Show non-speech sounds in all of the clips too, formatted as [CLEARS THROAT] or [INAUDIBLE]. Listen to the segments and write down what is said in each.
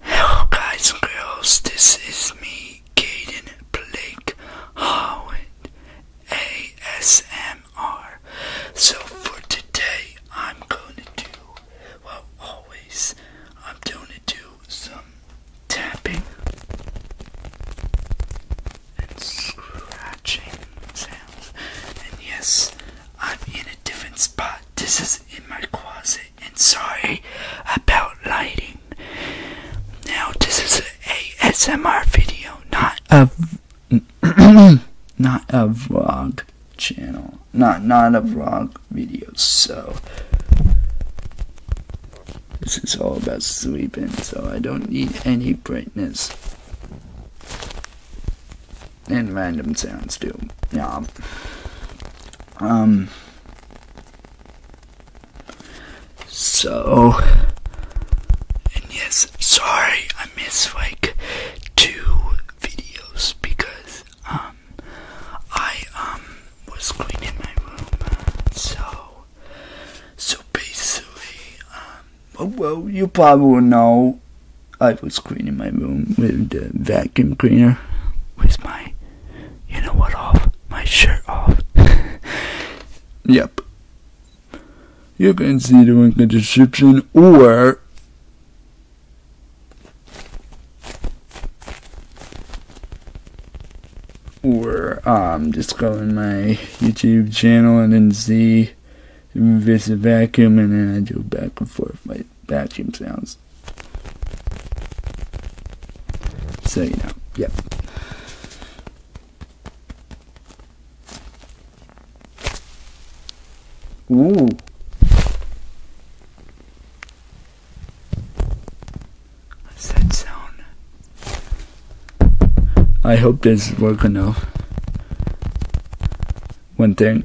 Hello guys and girls, this is me, Kaden Blake Howard ASMR. So for today I'm gonna do well always I'm gonna do some tapping and scratching sounds and yes I'm in a different spot. This is in my closet and sorry about lighting. Now this is a ASMR video, not a [CLEARS THROAT] not a vlog channel, not not a vlog video. So this is all about sleeping, so I don't need any brightness and random sounds too. Yeah. Um. So. And yes, sorry I missed like two videos because um I um was cleaning my room so so basically um well you probably know I was cleaning my room with the vacuum cleaner with my, you know what, off, my shirt off. [LAUGHS] yep. You can see the link in the description or or I'm um, just going my YouTube channel and then see this vacuum and then I do back and forth my the vacuum sounds. So you know, yep. Ooh. that sound? I hope this works enough. One thing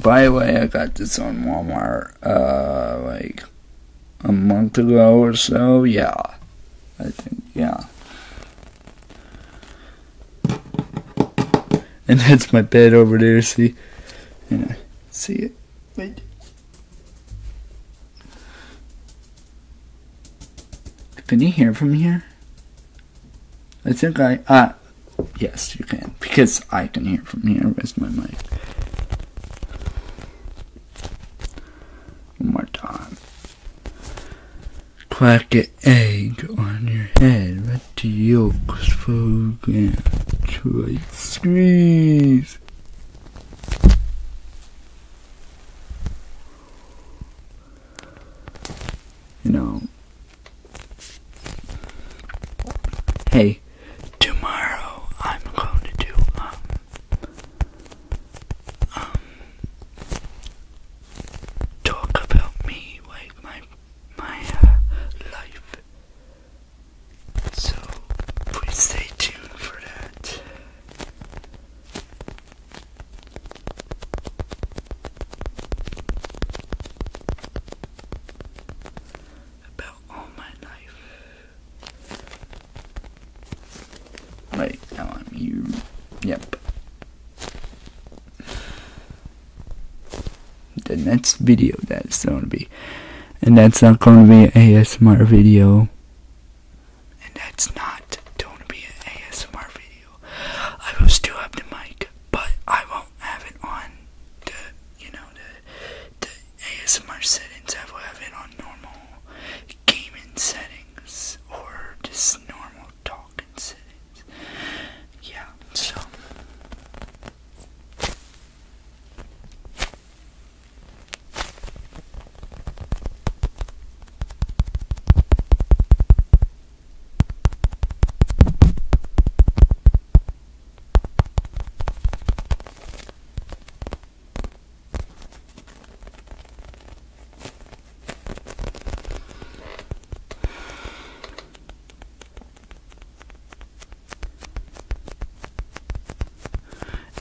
By the way, I got this on Walmart uh, like a month ago or so. Yeah, I think yeah. And that's my bed over there. See, yeah, see it. Can you hear from here? I think I ah Yes, you can. Because I can hear from here. with my mic? One more time. Quack an egg on your head. Let the yolks fold and try squeeze. You Hey, tomorrow I'm going to do um um talk about me, like my my uh, life. So please stay tuned for that about all my life. Wait, now I'm you. Yep. The next video that's going to be. And that's not going to be an ASMR video. And that's not going to be an ASMR video. I will still have the mic, but I won't have it on you know, the, the ASMR settings I will have it on normal gaming settings or just normal talking settings. Yeah, so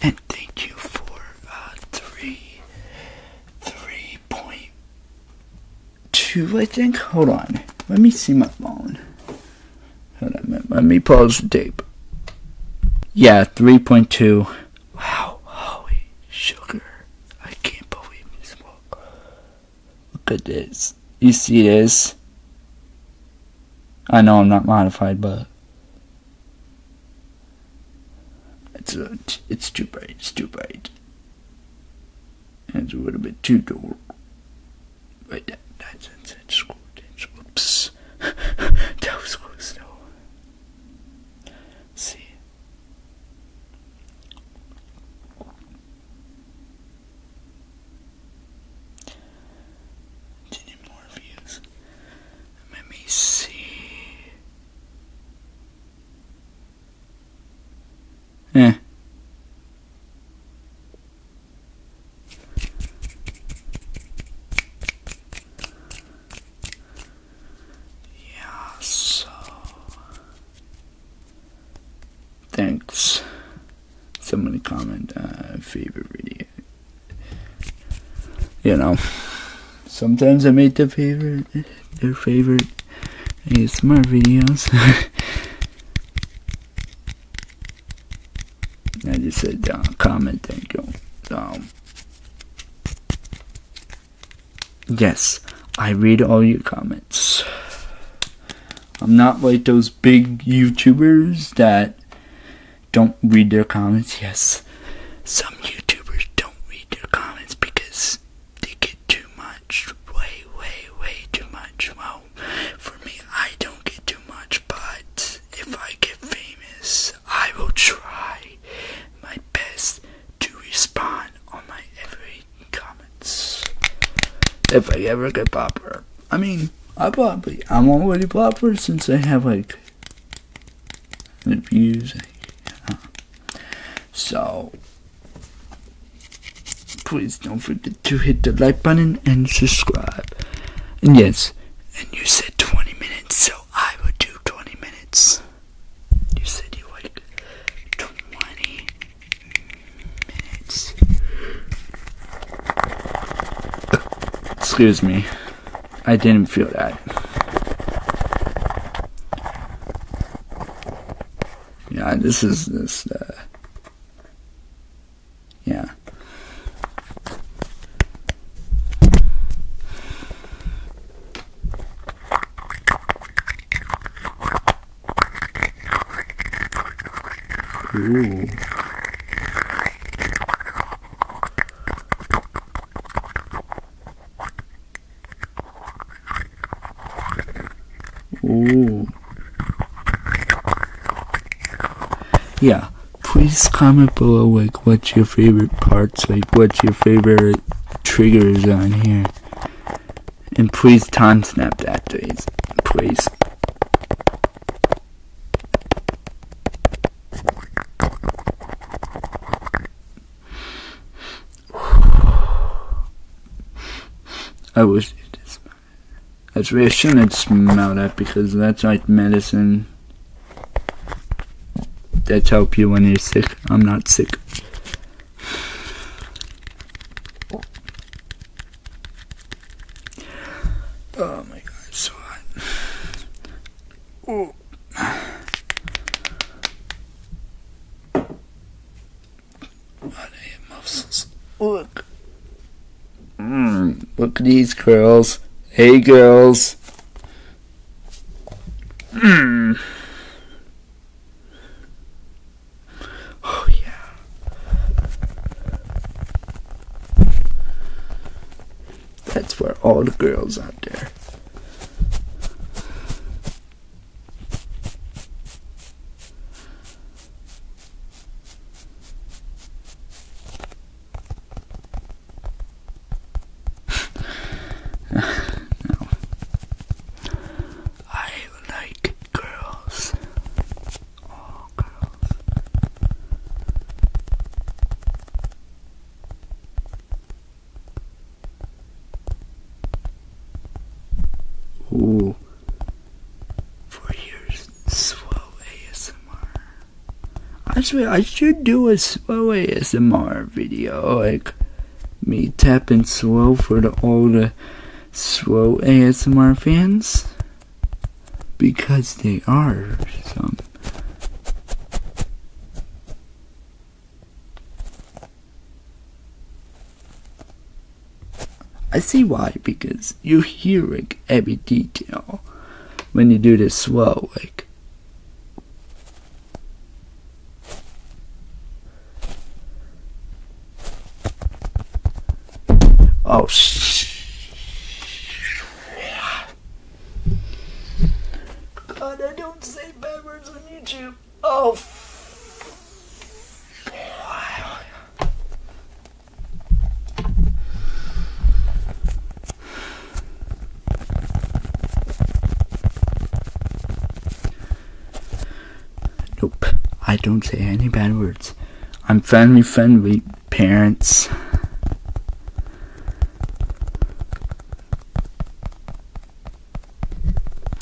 and thank you for uh, three, three point two, I think. Hold on. Let me see my phone. Hold on. Let me pause the tape. Yeah, 3.2. Wow. Holy sugar. I can't believe this Look at this. You see this? I know I'm not modified, but it's uh, it's too bright. It's too bright. It's a little bit too dark. Wait, that, that's, that's, that's good. oops. [LAUGHS] that was close though. See? did more views. Let me see. Eh. Yeah, so thanks. Somebody comment uh, favorite video. You know, sometimes I make the favorite their favorite my videos. [LAUGHS] And you said down, comment, thank you. Um, yes, I read all your comments. I'm not like those big YouTubers that don't read their comments. Yes, some YouTubers don't read their comments because they get too much, way, way, way too much. Well, for me, I don't get too much, but if I get famous, I will try my best to respond on my every comments. If I ever get popular, I mean, I probably I'm already popular since I have like the views. so Please don't forget to hit the like button and subscribe. And yes, and you said 20 minutes, so I would do 20 minutes. You said you like 20 minutes. Excuse me. I didn't feel that. Yeah, this is this. Uh, yeah. Ooh. Oh. Yeah. Please comment below like what's your favorite parts, like what's your favorite triggers on here. And please time snap that please. Please. I wish it is. Actually, I shouldn't smell that because that's like medicine. That help you when you're sick. I'm not sick. Oh my god, it's so hot. Oh. Look. look at these curls. Hey, girls. Mm. Oh, yeah. That's where all the girls out there. I like girls. All girls. Ooh. For years, slow ASMR. I swear I should do a slow ASMR video, like me tapping slow for the all the slow ASMR fans, because they are some. I see why, because you are hearing every detail when you do this slow, like. Oh, sh. God, I don't say bad words on YouTube. Oh, wow. Nope, I don't say any bad words. I'm friendly, friendly, parents.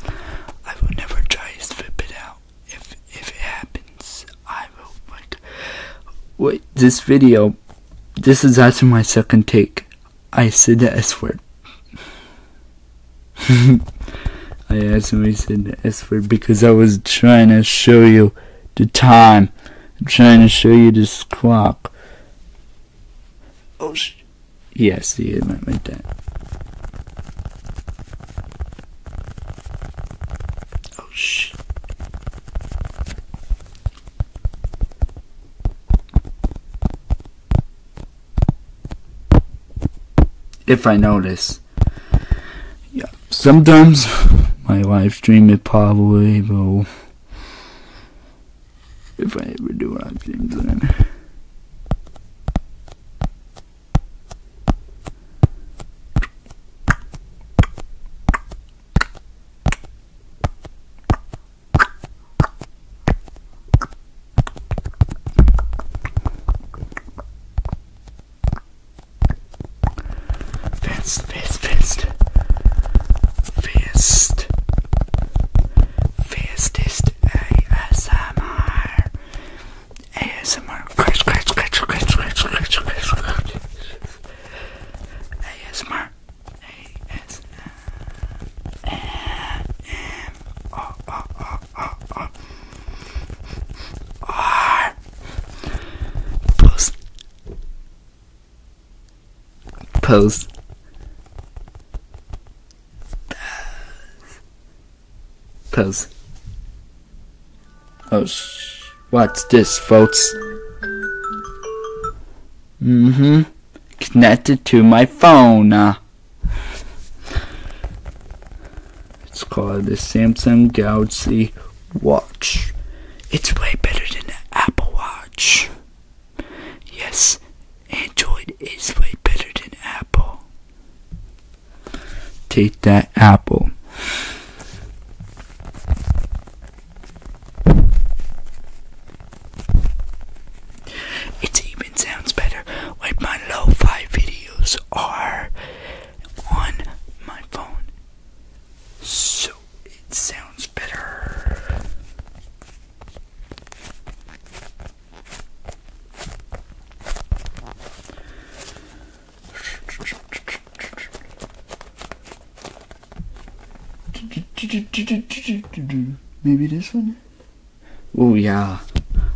I will never try to slip it out. If if it happens, I will wait this video this is actually my second take. I said the S word. [LAUGHS] I actually said the S word because I was trying to show you the time. I'm trying to show you this clock. Oh, sh yes, the amount went down. Oh, sh If I notice, yeah, sometimes my live stream it probably will if I ever do i James Lynn. Fist, fist, fist. Fist. Fastest ASMR. ASMR. Scratch, scratch, scratch, scratch, scratch, scratch, scratch, scratch. ASMR. ASMR. R. Post. Post. Pose. Oh, shh, watch this, folks. Mm-hmm. Connected to my phone. Uh. It's called the Samsung Galaxy Watch. It's way better than the Apple Watch. Yes, Android is way better than Apple. Take that, Apple. It even sounds better when my lo fi videos are on my phone. So it sounds better. Maybe this one? Oh, yeah.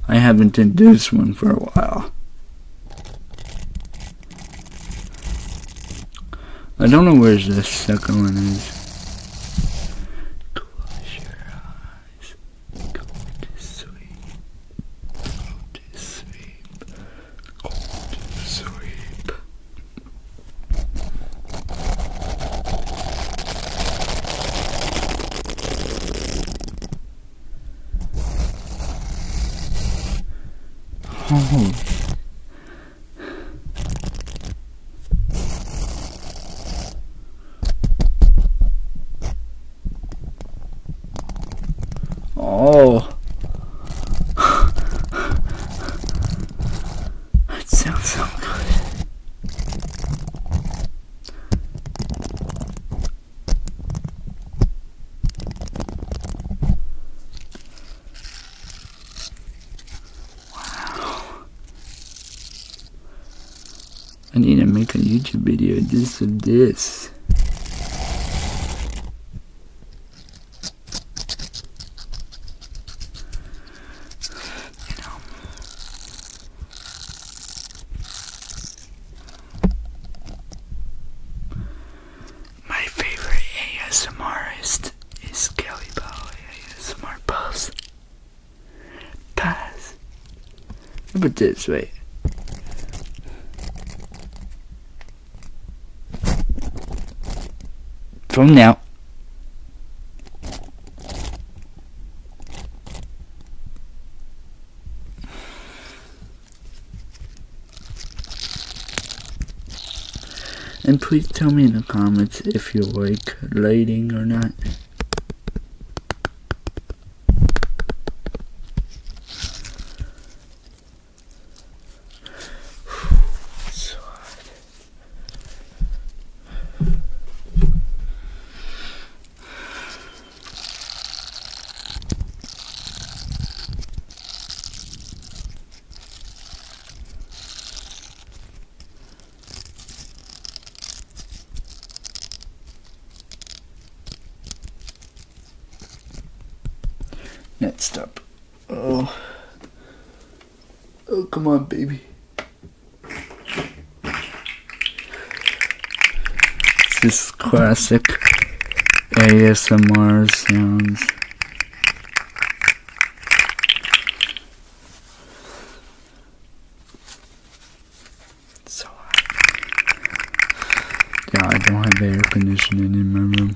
I haven't done this one for a while. I don't know where this second one is. Close your eyes. Go to sleep. Go to sleep. Oh, Oh. that sounds so good. Wow. I need to make a YouTube video just of this. You know. My favorite ASMRist is Kelly Bowie ASMR Pulse. Pass. But this way. From now. And please tell me in the comments if you like lighting or not. [SIGHS] Next up. Oh. Oh, come on, baby. This is classic ASMR sounds so hot. Yeah, I don't have air conditioning in my room.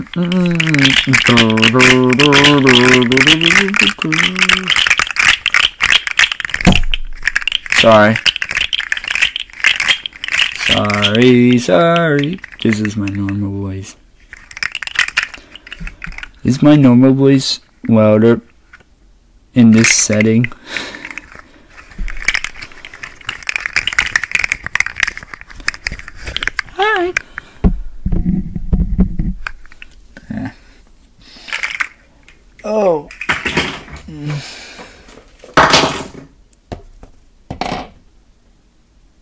Sorry. Sorry, sorry. This is my normal voice. Is my normal voice louder in this setting? Alright. [LAUGHS] Oh. Mm.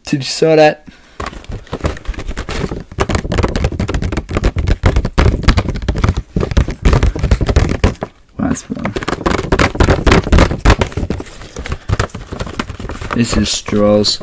Did you saw that? Last one. This is straws.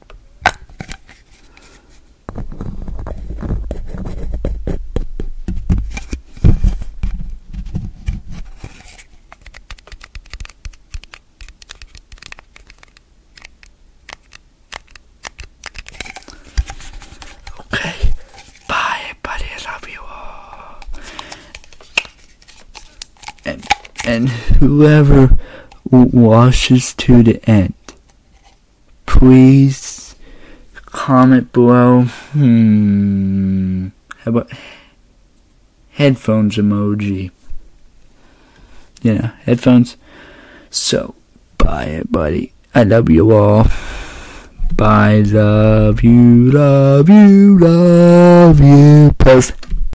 Ok, bye, everybody. I love you all. and, whoever washes to the end. Please comment below. Hmm. How about headphones emoji? You know, headphones. So, bye, buddy. I love you all. Bye. Love you, love you, love you. Post.